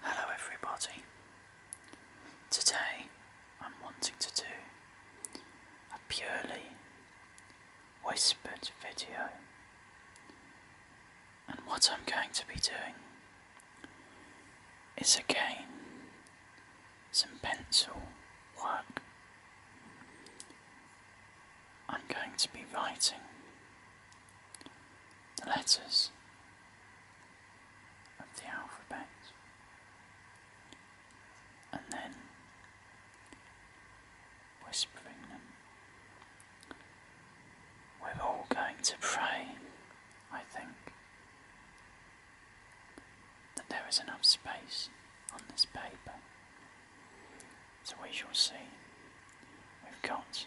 Hello everybody. Today I'm wanting to do a purely whispered video. And what I'm going to be doing is again some pencil work. I'm going to be writing the letters of the alphabet, and then whispering them. We're all going to pray, I think, that there is enough space on this paper. So we shall see. We've got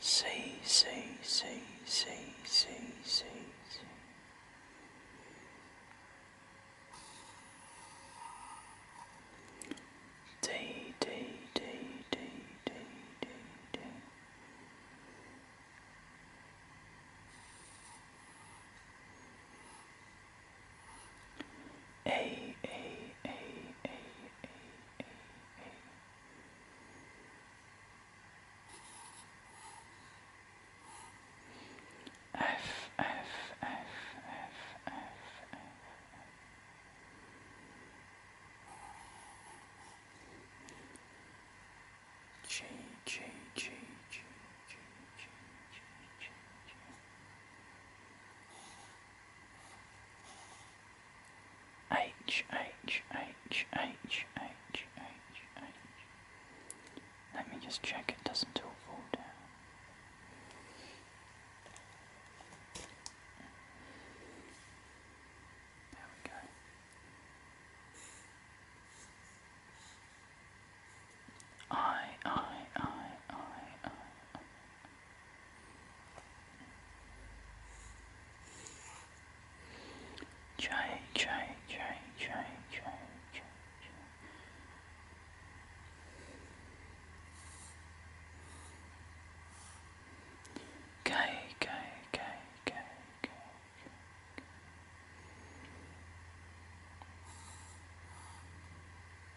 See, see, see, see, see, see, see. A A A A A A A A F F F F F F G G G G G G G G G G H, H, H, H, H, H, H. Let me just check it doesn't all fall down. There we go. I, I, I, I, I, I. Try, try, try, try, try, try, try. Guy, guy, guy,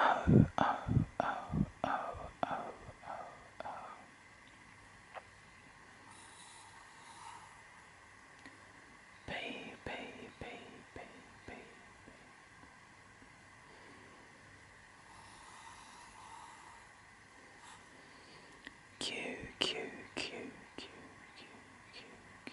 Oh, oh, oh, oh, oh, oh, oh. B, B, B, B, B, B. Q, Q, Q, Q, Q, Q, Q.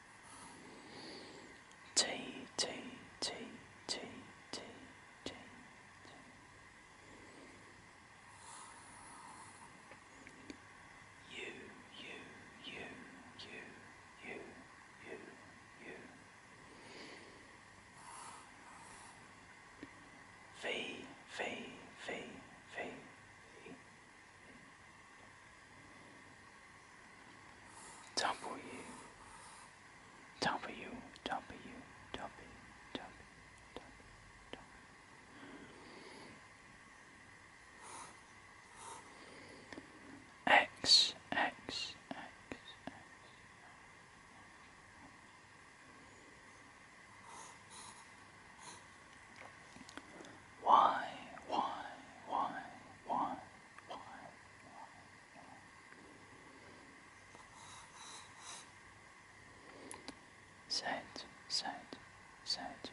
T T T T T T U U U U U U U V V V V V Tumble you. Tumble you. Tumble you sete, sete, sete,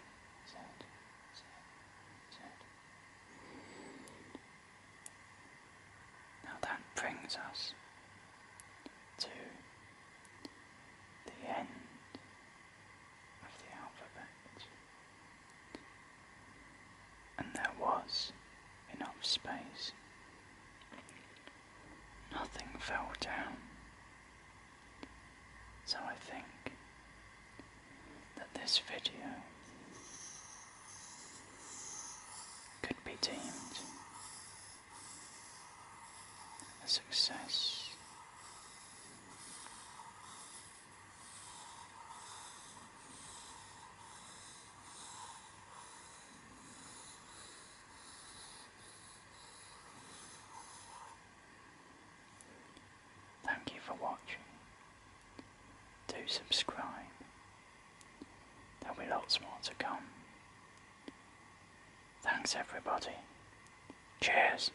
sete, sete, sete. Now that brings us to the end of the alphabet. And there was enough space. Nothing fell down. So I think that this video could be deemed a success. Thank you for watching. Do subscribe. There'll be lots more to come. Thanks everybody. Cheers.